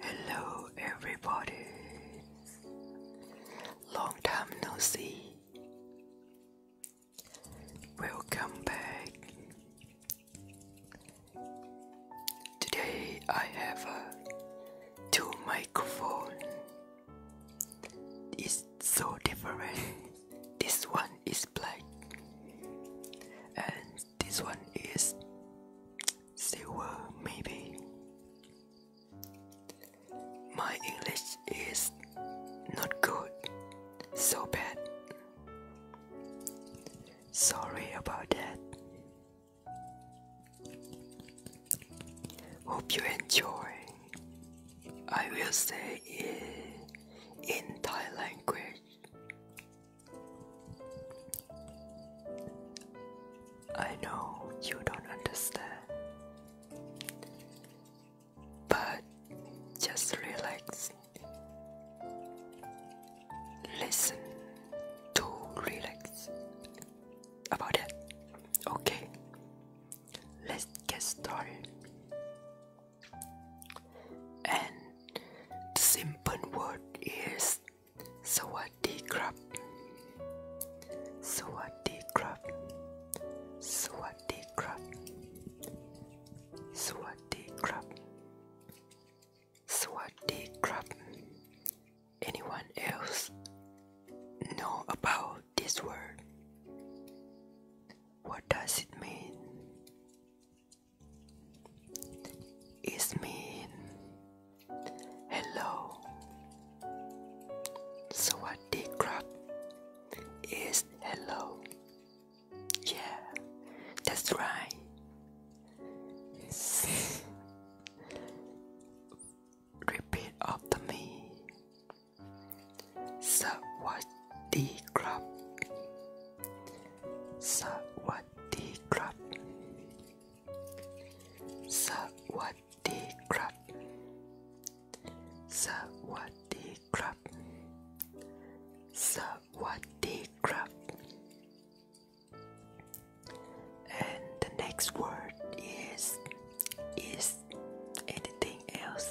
Hello, everybody. Long time no see. Welcome back. Today I have uh, two microphone. It's so different. This one is black, this one is silver maybe my English is not good so bad sorry about that hope you enjoy I will say it in Thai language I know you don't understand, but just relax. Listen to relax about it. Okay, let's get started. And the simple word is สวัสดีครับสวัสดีครับสวัสดีครับสวัสดีครับสวัสดีครับ anyone else know about this word what does it mean is mean hello สวัสดีครับ is hello yeah that's right repeat after me สวัสดีครับสวัสดีครับสวัสดีครับสวัสดีครับสวัสดีครับ and the next word is is anything else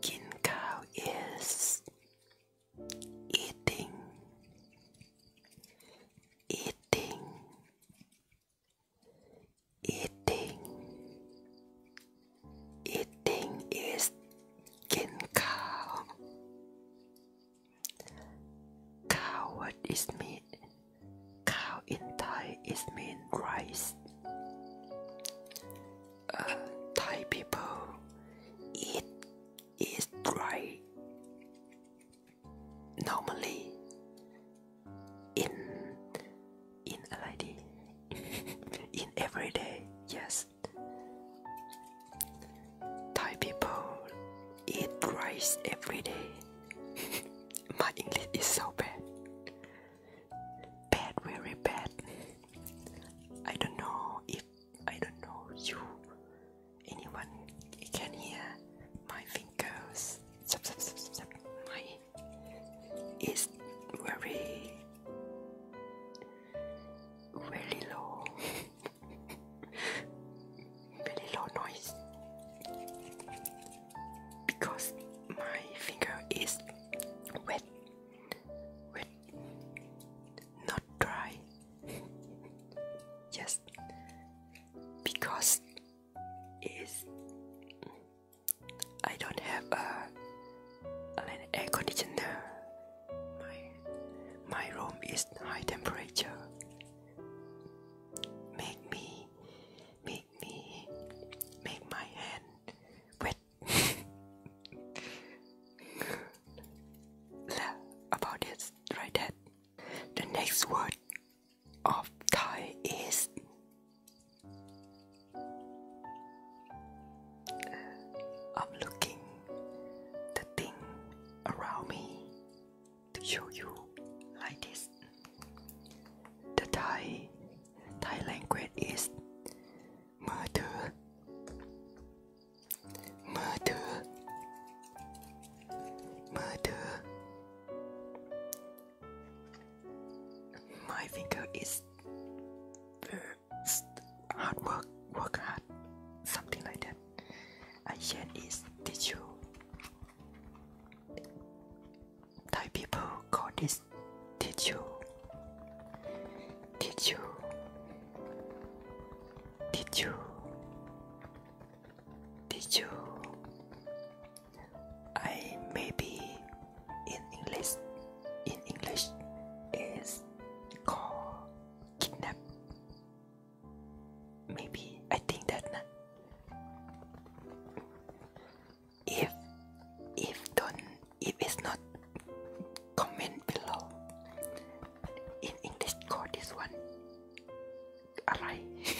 Kinkow is eating, eating, eating, eating is kinkow. Cow, what is meat? Cow in Thai is mean rice uh, Thai people eat is dry normally in in อะไรดี in everyday yes Thai people eat rice every day my English is so bad bad, very bad. I don't know if I don't know you. Anyone can hear my fingers. Zap, My is very, very low, very low noise because my finger is wet, wet, not dry. yes, because is I don't have a an air conditioner. My my room is high temperature. Make me, make me, make my hand. wet. about this right head. The next word of Thai is uh, I'm looking the thing around me to show you like this. The Thai Thai language is มือถือมือถือมือถือ My finger is hard work work hard something like that. I said is tissue Thai people call this Teju. Teju. Teju. Teju. I maybe in English, in English, is called kidnap. Maybe I think that if if don't if it's not comment below in English call this one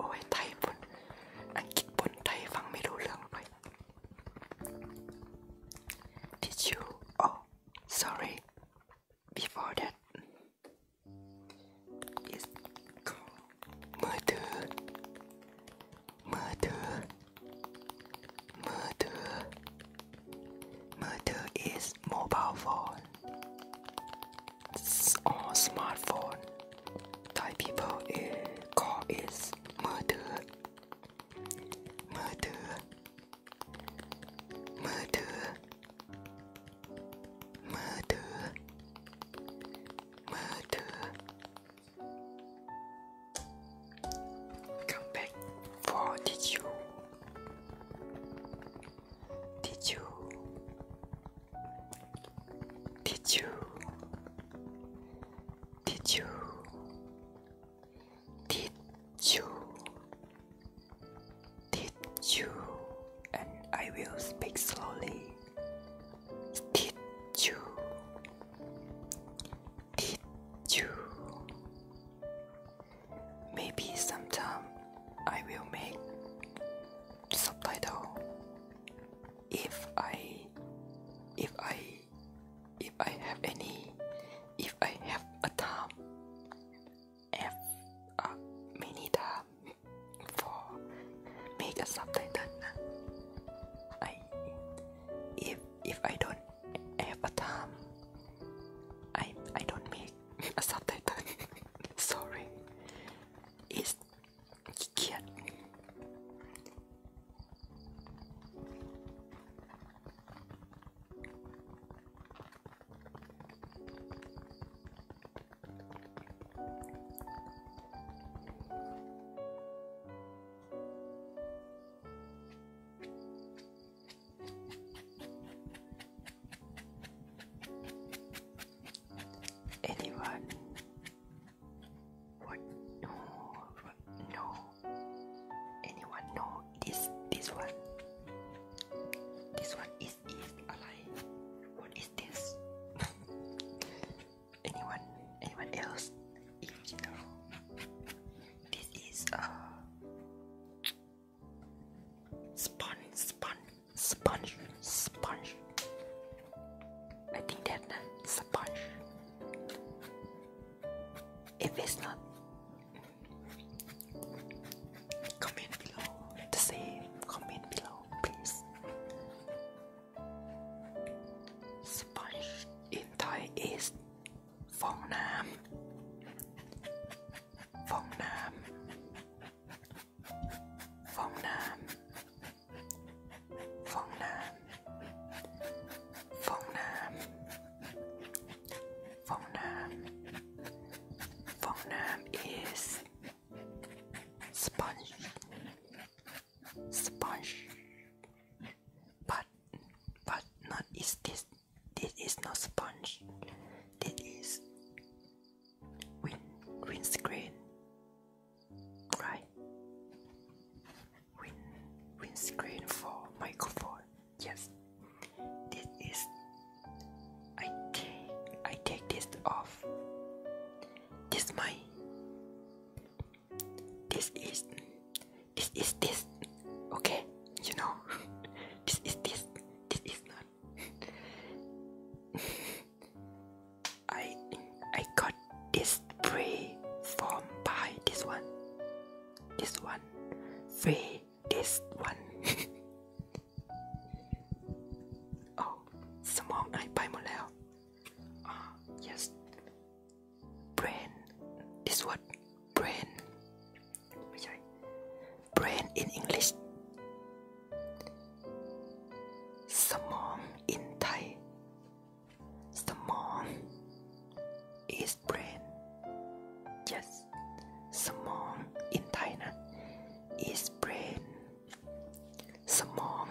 oh, eh, Did you oh sorry before that, called murder murder murder murder is mobile phone or smartphone Thai people uh, call it murder murder murder murder murder Come back did you? Did you? Did you? Did you? Did you? Did you? And I will speak slowly. Did you? Did you? Maybe sometime I will make subtitle if I if I if I have any if I have a time if a minute for make a subtitle. I if if I don't have a time, I I don't make a subtitle. Sorry, it's cute. Anyone would know, would anyone know this, this one? This one is, is alive. What is this? anyone anyone else you know, This is a uh, sponge, sponge, sponge, sponge. I think that's a sponge. If it's not, comment below. To say comment below, please. Sponge in Thai is Phong Nam. Phong Nam. Phong Nam. Phong Nam. Phong Nam. Phong Nam. Phong Nam is sponge sponge but but not is this this is not sponge this is wind windscreen right wind windscreen for microphone yes this is I take I take this off this my. This is. This is this. Okay, you know. this is this. This is not. I I got this free from buy this one. This one free. This one. oh, now. Ah, yes. Brain. This what brain. Brain in English. Samong in Thai. Samong is brain. Yes. samong in Thai na, is brain. Samong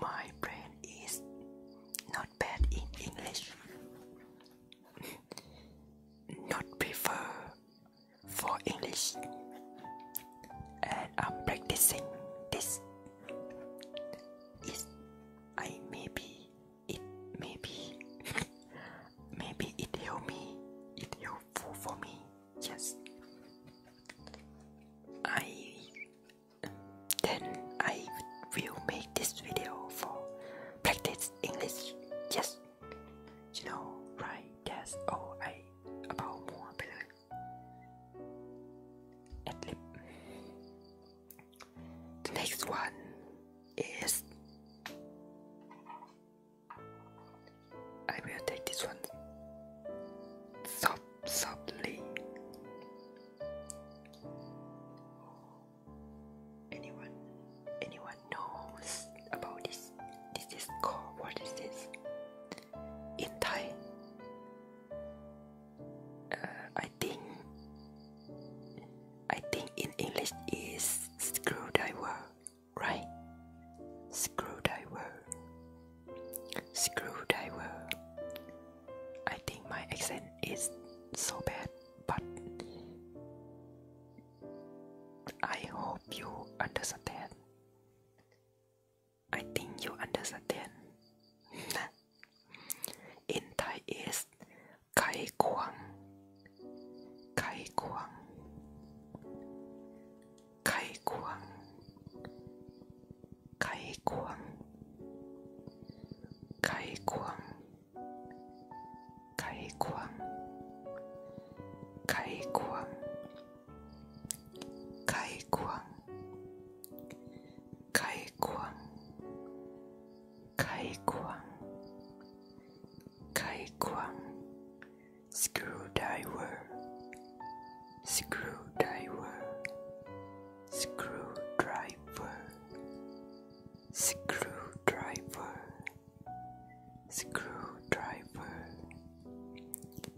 my brain is not bad in English. not prefer for English. And I'm practicing this. Is I maybe it maybe maybe it help me it helpful for me yes I then I will make this video for practice English. Just you know, right? That's all I about more better. next one is I will take this one. Stop suddenly. Anyone, anyone knows about this? This is called what is this? In Thai, uh, I think, I think in English is screw screwdriver, right? Screw Screwdriver. Screwdriver. I think my accent is so bad, but I hope you understand. I think you understand. In Thai is Kai Kuang. Kai Kuang. 开光，开光，开光，开光，开光，开光，开光，开光，开光，screwdriver。screwdriver screwdriver screwdriver screwdriver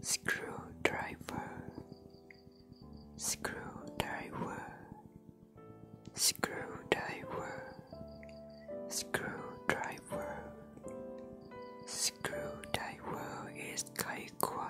screwdriver screwdriver screwdriver screwdriver screwdriver is kaikwa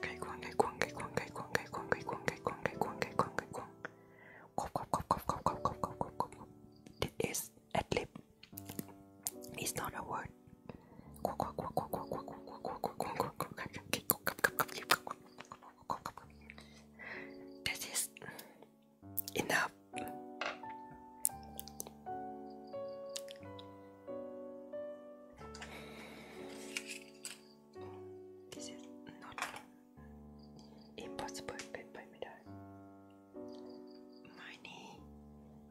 Kai Kwang, Kai Kwang, Kai Kwang, Kai Kwang, Kai Kwang, Kai Kwang, Kai Kwang, Kai Kwang, Kai Kwang, Kai Kwang. Quap, quap, quap, quap, quap, quap, quap, quap, quap, quap. This is adlib. It's not a word. Quack, quack, quack, quack, quack, quack, quack, quack, quack, quack, quack, quack, quack, This is enough. This is not impossible bit My knee,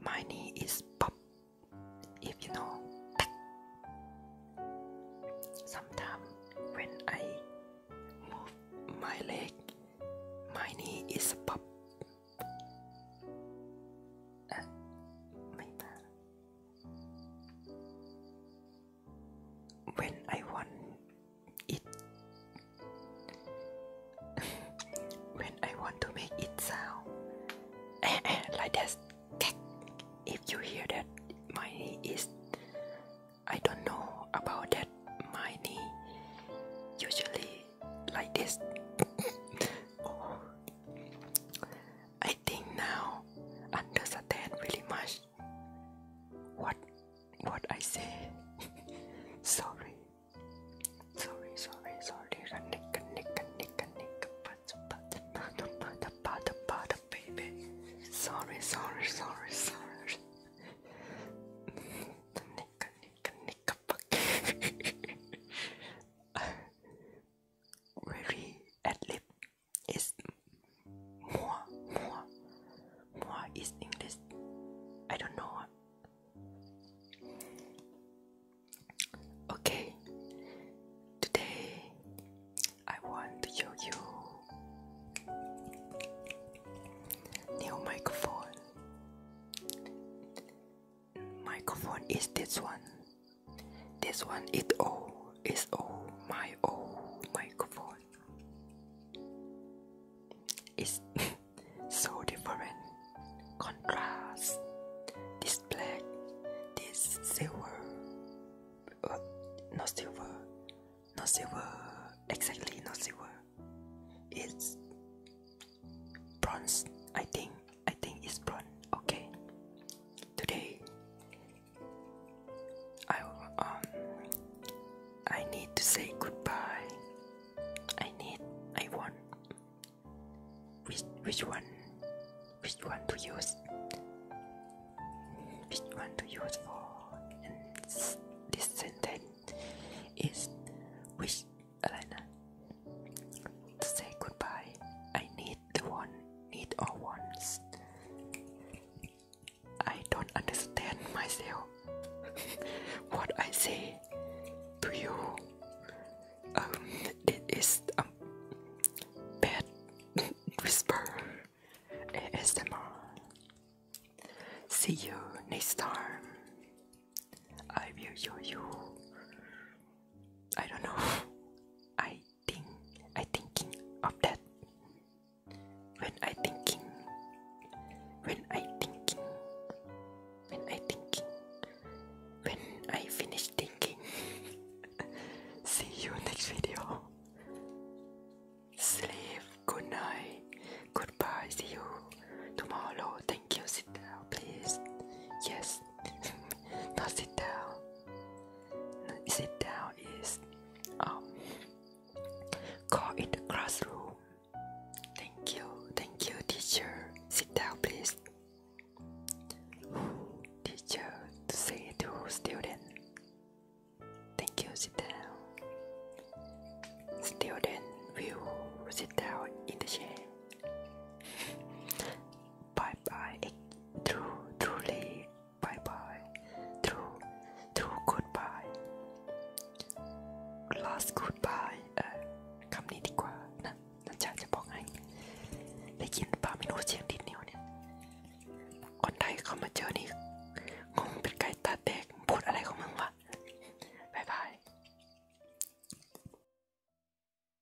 my knee is pop. If you know, sometimes when I move my leg, my knee is pop. Uh, my bad when I want it when I want to make it sound like that if you hear that my knee is I don't know about that my knee usually like this oh. I I think now understand really much what what I say. sorry. Sorry, sorry, sorry. Baby. Sorry, sorry, sorry, sorry. very adlib is more, more, more is English. I don't know. Okay, today I want to show you new microphone microphone is this one this one is old is old my oh microphone it's so different contrast this black this silver uh, not silver not silver exactly not silver it's bronze I think I think it's brown. Okay. Today, I um, I need to say goodbye. I need. I want. Which which one? Which one to use? Which one to use for? this sentence is which to say goodbye. I need the one, need all ones. I don't understand myself. what I say to you. Um, it is um, a bad whisper. ASMR. See you next time. I will show you I don't know. I think I thinking of that. When I thinking, when I thinking, when I thinking, when I finish thinking. See you next video. Sleep. Good night. Goodbye. See you tomorrow. Thank you. Sit down, please. Yes. Not sit down. Sit down is um call it the classroom. Thank you, thank you, teacher. Sit down, please. Teacher to say to student. Thank you, sit down. Student will sit down in the chair. But bye bye through truly bye bye through through goodbye last goodbye เออคำนี้ดีกว่านะนันชาจะบอกให้ ได้ยินป่าไม่รู้เสียงดินนิ้วเนี่ย คนไทยเขามาเจอนี่งงเป็นไก่ตาแตกพูดอะไรของมึงวะบายบาย